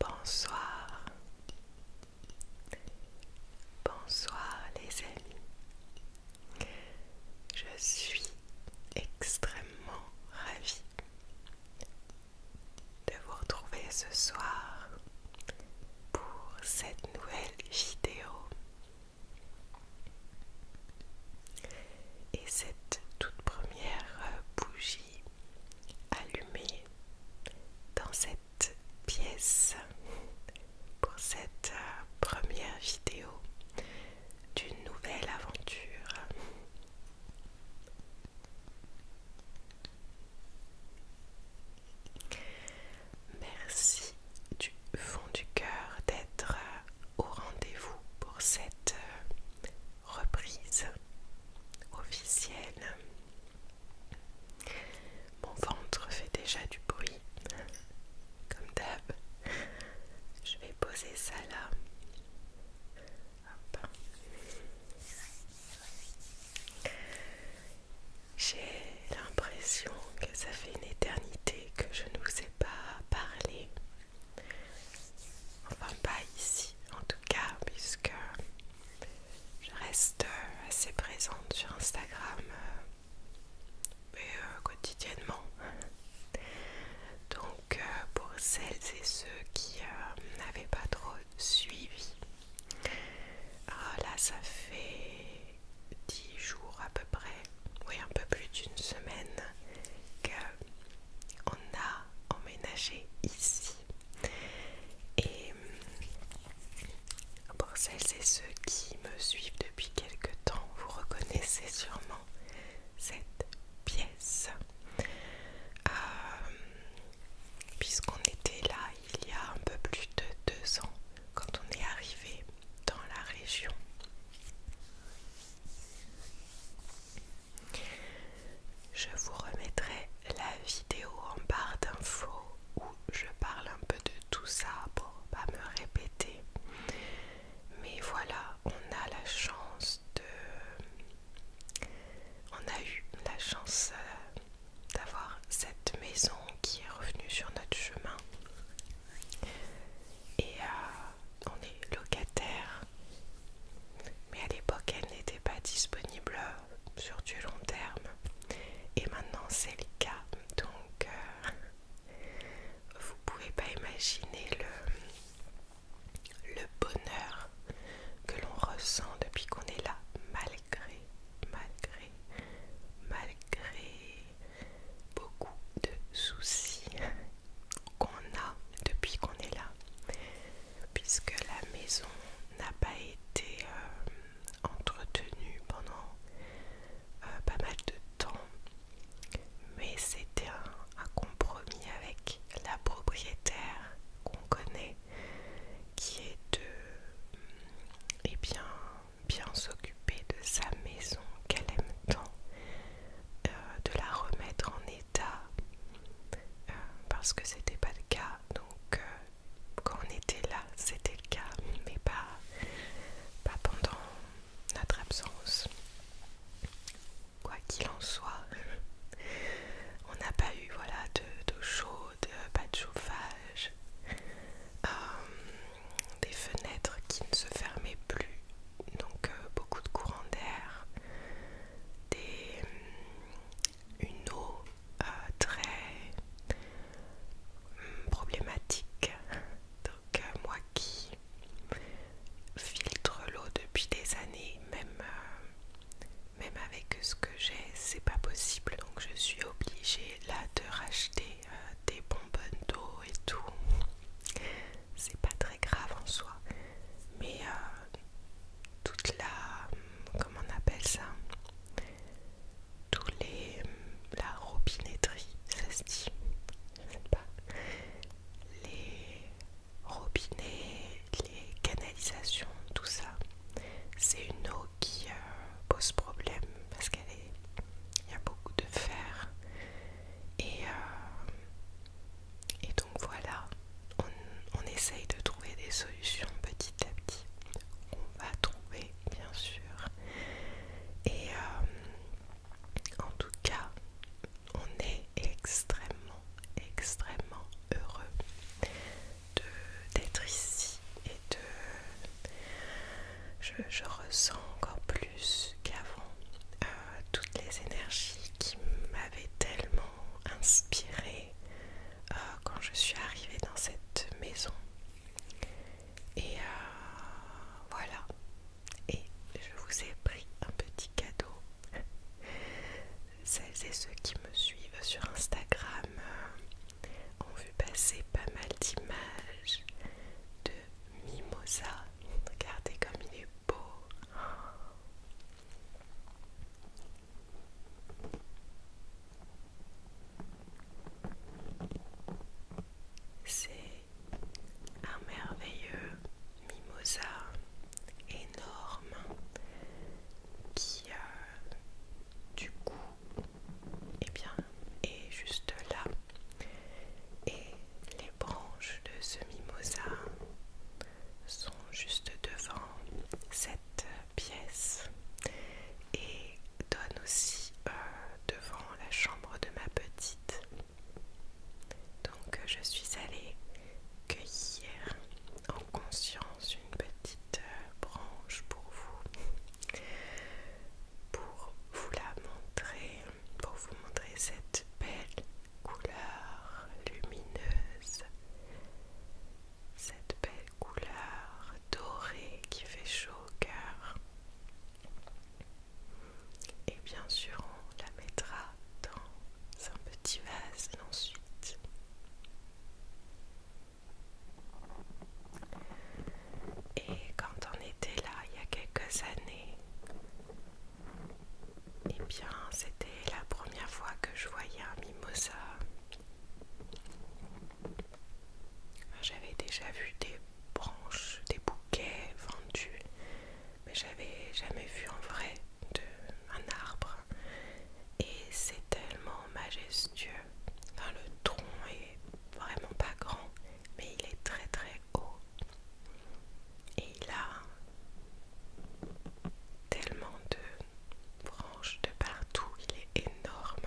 Bonsoir. Bonsoir les amis. Je suis extrêmement ravie de vous retrouver ce soir pour cette nouvelle vidéo et cette toute première euh, bougie allumée dans cette pièce pour cette euh, première vidéo d'une nouvelle aventure. Merci du fond du cœur d'être au rendez-vous pour cette euh, reprise officielle. Mon ventre fait déjà du bruit comme d'hab. Je vais poser ça là. J'ai l'impression que ça fait une éternité que je ne vous ai pas parlé. Enfin, pas ici en tout cas, puisque je reste assez présente sur Instagram euh, mais euh, quotidiennement. Donc euh, pour celles et ceux qui euh, n'avaient pas trop suivi, ah, là ça fait 10 jours à peu près, oui un peu plus d'une semaine que on a emménagé ici. Et pour celles ceux qui me suivent depuis quelque temps, vous reconnaissez sûrement cette pièce. Euh, puisqu'on était là il y a un peu plus de deux ans, quand on est arrivé dans la région. Je vous remettrai la vidéo en barre d'infos où je parle un peu de tout ça pour pas me répéter. Mais voilà, on a la chance de... On a eu la chance euh, d'avoir cette maison qui est revenue sur notre chemin. Et euh, on est locataire. Mais à l'époque, elle n'était pas disponible euh, sur du long terme. Et maintenant, c'est le cas. Donc, vous pouvez pas imaginer le, bonheur que l'on ressent depuis qu'on est là, malgré, malgré, malgré beaucoup de soucis qu'on a depuis qu'on est là, puisque la maison n'a pas été euh, entretenue pendant euh, pas mal de temps mais c'était un, compromis avec la propriétaire qu'on connaît qui est de mm, eh bien, bien s'occuper de sa maison qu'elle aime tant, euh, de la remettre en état euh, parce que c'était pas le cas donc euh, quand on était là c'était le cas mais pas, pas pendant notre absence. Quoi qu'il en soit, euh, on n'a pas eu voilà, d'eau de chaude, pas de chauffage, euh, des fenêtres qui ne se fermaient plus, donc euh, beaucoup de courant d'air, une eau très problématique euh, moi qui filtre l'eau depuis des années, même, euh, même avec ce que j'ai, c'est pas possible. Donc je suis obligée là de racheter euh, des bonbonnes d'eau et tout. C'est pas très grave en soi. Mais toute la... comment on appelle ça tous les la robinetterie, ça se dit, les robinets, les canalisations, tout ça, c'est une eau qui euh, pose problème parce qu'elle y a beaucoup de fer et, euh, donc voilà, on, essaye de trouver des solutions petit à petit. On va trouver bien sûr et euh, en tout cas, on est extrêmement, extrêmement heureux d'être ici et de... Je, ressens encore plus qu'avant euh, toutes les énergies qui m'avaient tellement inspirée euh, quand je suis arrivée dans cette maison. Et euh, voilà. Et je vous ai pris un petit cadeau. Celles et ceux qui me suivent sur Instagram euh, ont vu passer pas mal d'images de Mimosa. Regardez comme il est beau. C'est un merveilleux mimosa énorme qui du coup eh bien, est juste là et les branches de ce mimosa sont juste devant cette pièce et donnent aussi euh, devant la chambre de ma petite. Donc euh, je suis allée cueillir en conscience une petite euh, branche pour vous, pour vous la montrer, pour vous montrer cette belle couleur lumineuse, cette belle couleur dorée qui fait chaud au cœur. Et bien sûr, on la mettra dans un petit vase ensuite. Et quand on était là il y a quelques années, et eh bien c'était la première fois que je voyais un mimosa. J'avais déjà vu des branches, des bouquets vendus, mais j'avais jamais vu en vrai de, un arbre. Et c'est tellement majestueux. Enfin, le tronc est vraiment pas grand, mais il est très très haut. Et il a tellement de branches de partout, il est énorme.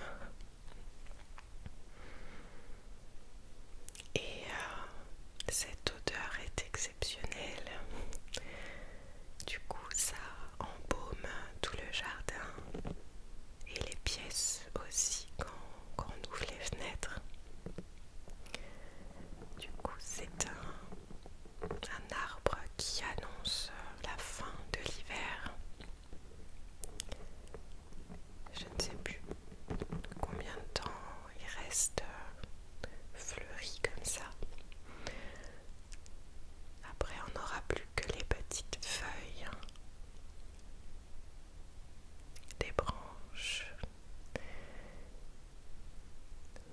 Et euh, cette odeur est exceptionnelle. Du coup, ça embaume tout le jardin et les pièces aussi quand, on ouvre les fenêtres. Du coup, c'est un arbre qui annonce la fin de l'hiver. Je ne sais plus combien de temps il reste euh, fleuri comme ça. Après, on n'aura plus que les petites feuilles, des branches.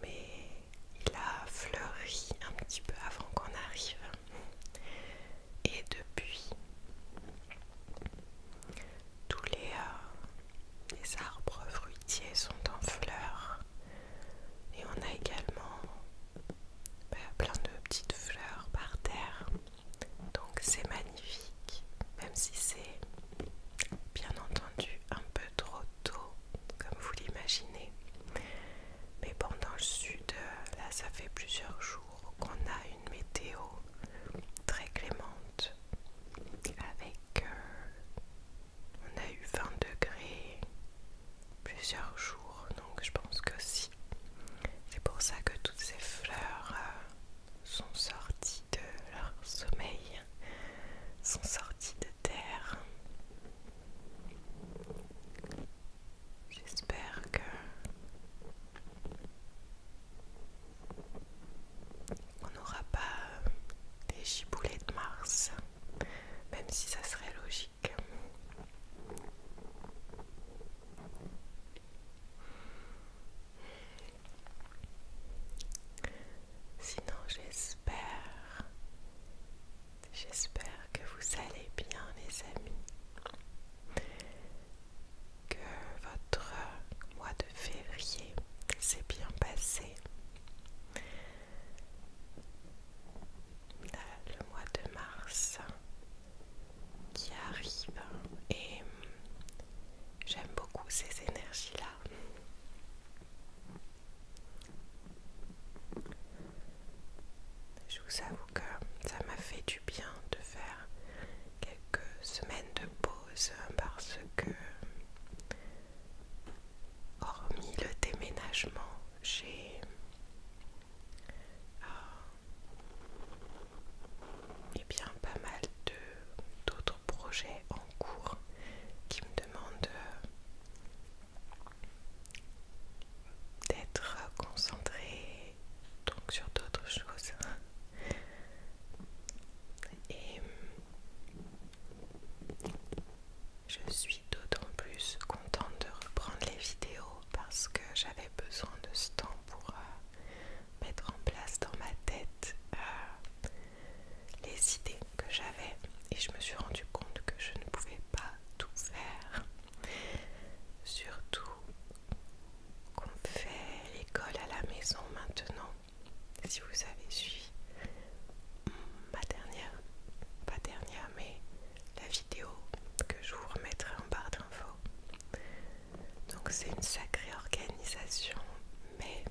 Mais il a fleuri un petit peu avant qu'on arrive. Et depuis, tous euh, les, arbres fruitiers sont en fleurs. Et on a également bah, plein de petites fleurs par terre. Donc c'est magnifique, même si c'est bien entendu un peu trop tôt, comme vous l'imaginez. Mais pendant le sud, euh, là, ça fait plusieurs jours qu'on a une météo très clémente avec euh, on a eu 20 degrés plusieurs jours donc je pense que si c'est pour ça que toutes ces fleurs euh, sont sorties de leur sommeil sont sorties de terre j'espère que on n'aura pas euh, des giboulées de mars, même si ça serait logique. Sinon, j'espère, j'espère que vous allez bien, les amis que votre mois de février s'est bien passé. Le mois de mars qui arrive et j'aime beaucoup ces énergies-là. Je vous avoue que ça m'a fait du bien de faire quelques semaines de pause parce que hormis le déménagement j'ai et euh, eh bien pas mal d'autres projets en cours qui me demandent euh, d'être concentrée donc sur d'autres choses et je suis d'autant plus contente de reprendre les vidéos parce que j'avais besoin de ce temps pour euh, mettre en place dans ma tête euh, les idées que j'avais et je me suis rendu compte que je ne pouvais pas tout faire surtout qu'on fait l'école à la maison maintenant. Si vous avez suivi ma dernière, pas dernière, mais la vidéo que je vous remettrai en barre d'infos. Donc c'est une sacrée organisation, mais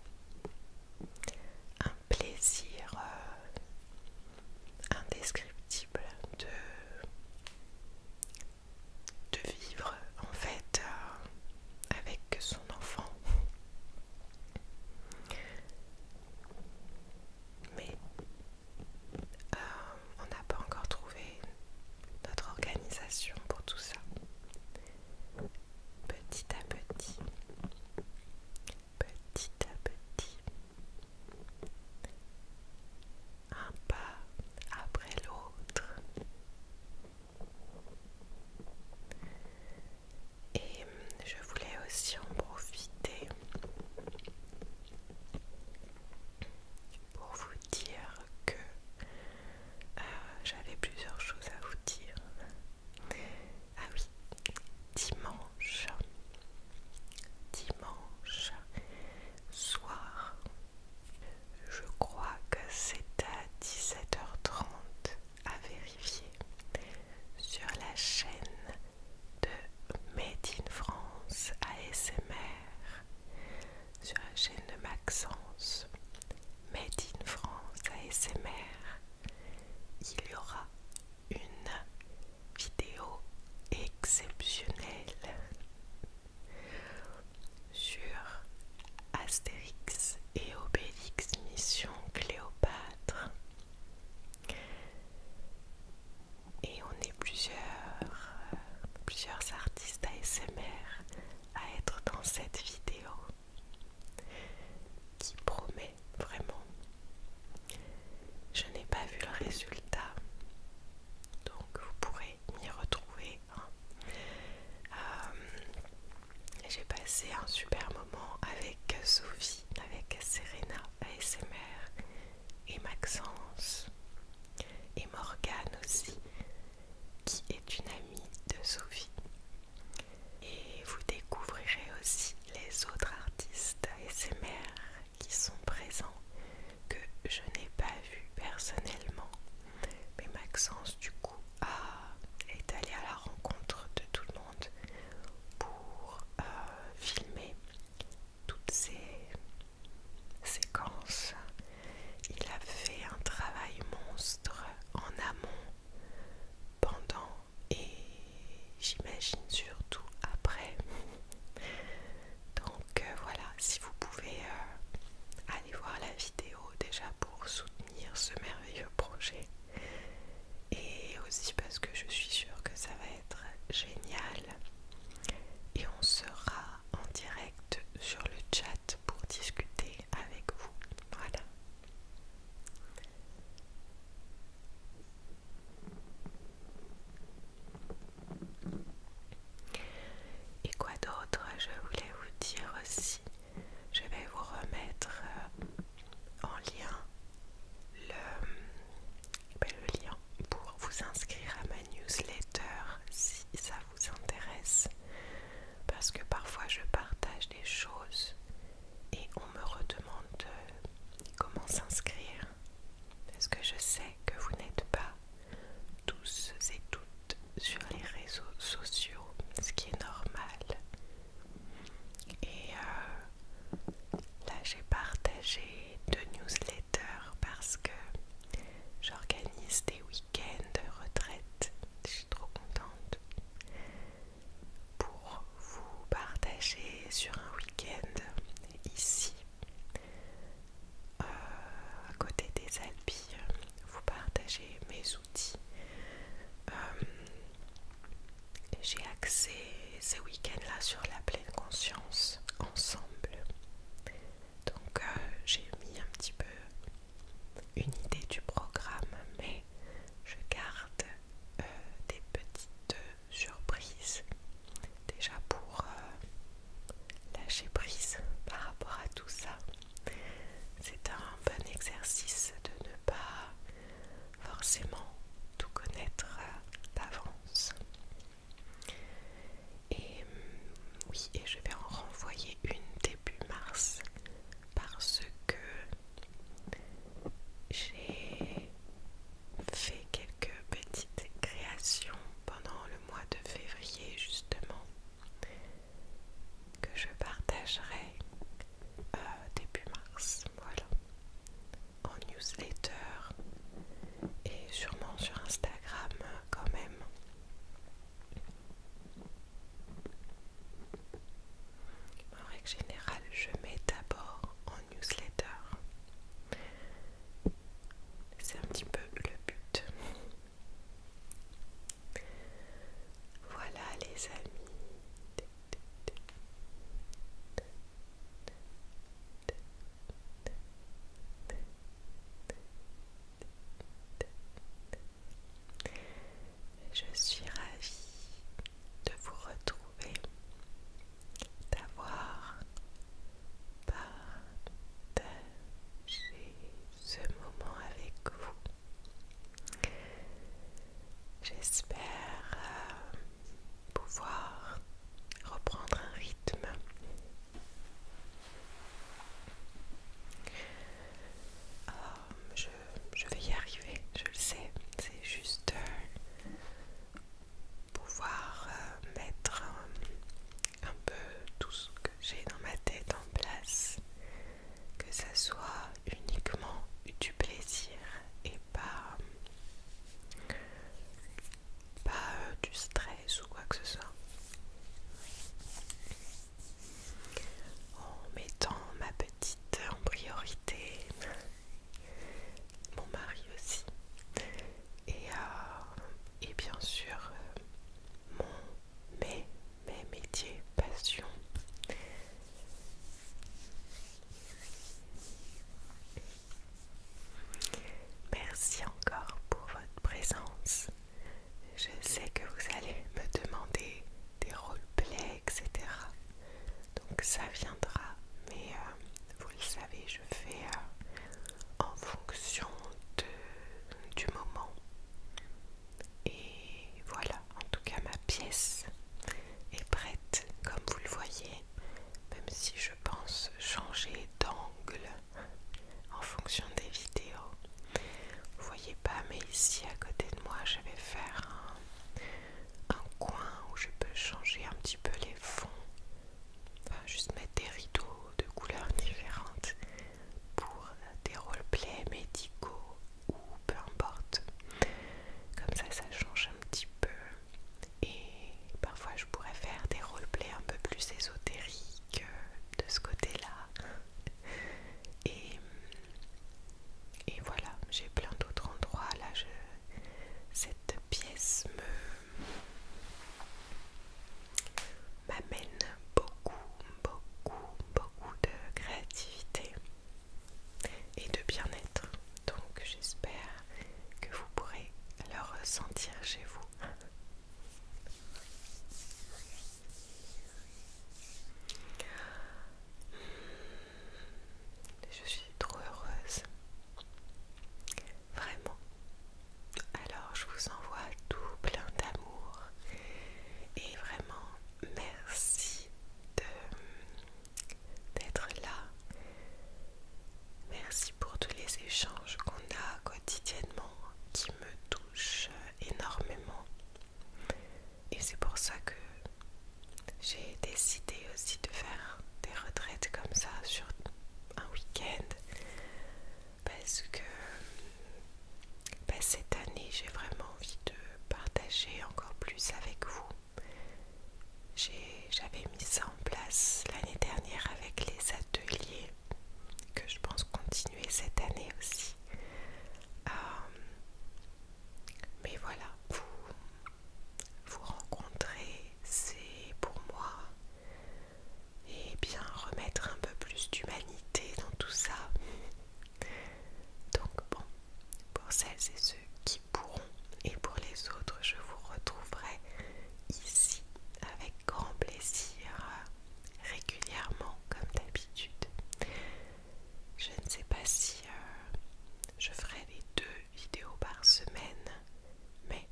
un plaisir euh, indescriptible de de vivre en fait euh, avec son enfant. Mais euh, on n'a pas encore trouvé notre organisation pour tout ça. Petit à petit, petit à petit, un pas après l'autre. Et je voulais aussi en profiter pour vous dire que euh, j'avais plusieurs choses à vous dire. Ah oui, dimanche, dimanche soir, je crois que c'est à 17h30 à vérifier sur la chaîne de Made in France ASMR, sur la chaîne de Maxence Made in France ASMR. Il y aura une vidéo exceptionnelle sur Astérix et Obélix Mission Cléopâtre. Et on est plusieurs, plusieurs artistes ASMR à être dans cette vidéo qui promet vraiment. Je n'ai pas vu le résultat, donc vous pourrez m'y retrouver. Hein. Euh, j'ai passé un super moment avec Sophie, avec Serena ASMR et Maxence et Morgane aussi, qui est une amie de Sophie. Et vous découvrirez aussi les autres artistes ASMR qui sont présents que je n'ai pas vu personnellement. Mais Maxence, du coup, a, est allé à la rencontre de tout le monde pour euh, filmer toutes ces séquences. Il a fait un travail monstre en amont, pendant et j'imagine surtout après. Donc euh, voilà, si vous pouvez euh, aller voir la vidéo déjà pour soutenir ce merveilleux projet et aussi parce que je suis sûre que ça va être génial et on sera en direct sur le chat pour discuter avec vous. Voilà. Et quoi d'autre Je voulais vous dire aussi, je vais vous remettre euh, en lien ben, le, lien pour vous inscrire à ma newsletter si ça vous intéresse. Parce que parfois je partage des choses et on me redemande euh, comment s'inscrire parce que je sais que vous n'êtes pas tous et toutes sur les réseaux sociaux, ce qui est normal. Et euh, là, j'ai partagé deux newsletters parce que j'organise des week-ends de retraite. Je suis trop contente pour vous partager sur un week-end ici euh, à côté des habits vous partagez mes outils. Euh, j'ai axé ce week ends là sur la pleine conscience ensemble. Donc euh, j'ai mis un petit peu une idée du programme, mais je garde des petites surprises déjà pour lâcher prise par rapport à tout ça. C'est un bon exercice de ne pas forcément tout connaître d'avance. Et oui, et je vais en renvoyer une début mars parce que j'ai fait quelques petites créations pendant le mois de février justement que je partagerai euh, début mars, voilà, en newsletter et sûrement sur Instagram euh, quand même. En règle générale, je mets d'abord en newsletter c'est un petit peu le but. Voilà les amis. Je suis ravie de vous retrouver, d'avoir partager ce moment avec vous. J'espère euh, pouvoir reprendre un rythme. Euh, je, vais y arriver, je le sais. C'est juste euh, pouvoir mettre un peu tout ce que j'ai dans ma tête en place, que ça soit uniquement du plaisir et pas, pas euh, du stress ou quoi que ce soit. En mettant ma petite en priorité, mon mari aussi, et, euh, et bien sûr euh, mon, mes, mes métiers, passion. Merci encore pour votre présence. Je sais que vous allez me demander des roleplays, etc. Donc ça viendra, mais... Euh, vous le savez, je fais euh, en fonction du moment. Et voilà, en tout cas ma pièce est prête, comme vous le voyez, même si je pense changer d'angle en fonction des vidéos. Vous voyez pas, mais ici à côté de moi, je vais faire un coin où je peux changer un petit peu les fonds enfin juste mettre des rideaux de couleurs différentes pour des roleplays médicaux ou peu importe. Comme ça, ça change un petit peu. Et parfois, je pourrais faire des roleplays un peu plus ésotériques euh, de ce côté-là. Et, et voilà, j'ai plein d'autres endroits. Là, je, cette pièce me m'amène beaucoup, beaucoup, beaucoup de créativité et de bien-être. Donc j'espère que vous pourrez le ressentir chez vous. Je suis trop heureuse Vraiment. Alors je vous envoie tout plein d'amour et vraiment merci d'être là. Merci pour tous les échanges qu'on a quotidiennement qui me touchent énormément. Et c'est pour ça que j'ai décidé aussi de faire des retraites comme ça sur un week-end parce que bah, cette année j'ai vraiment envie de partager encore plus avec vous. J'avais mis ça en place l'année dernière avec les ateliers que je pense continuer cette année aussi. Euh, mais voilà, vous, vous rencontrer, c'est pour moi et bien remettre un peu plus d'humanité dans tout ça. Donc bon, pour celles et ceux qui pourront et pour les autres, je vous retrouverai ici avec grand plaisir régulièrement comme d'habitude. Je ne sais pas si euh, je ferai les deux vidéos par semaine, mais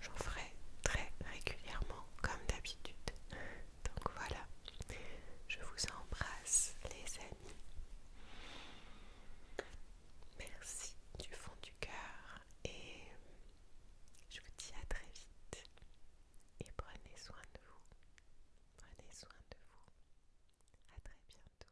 J'en ferai très régulièrement comme d'habitude. Donc voilà, je vous embrasse les amis. Merci du fond du cœur et je vous dis à très vite. Et prenez soin de vous. Prenez soin de vous. À très bientôt.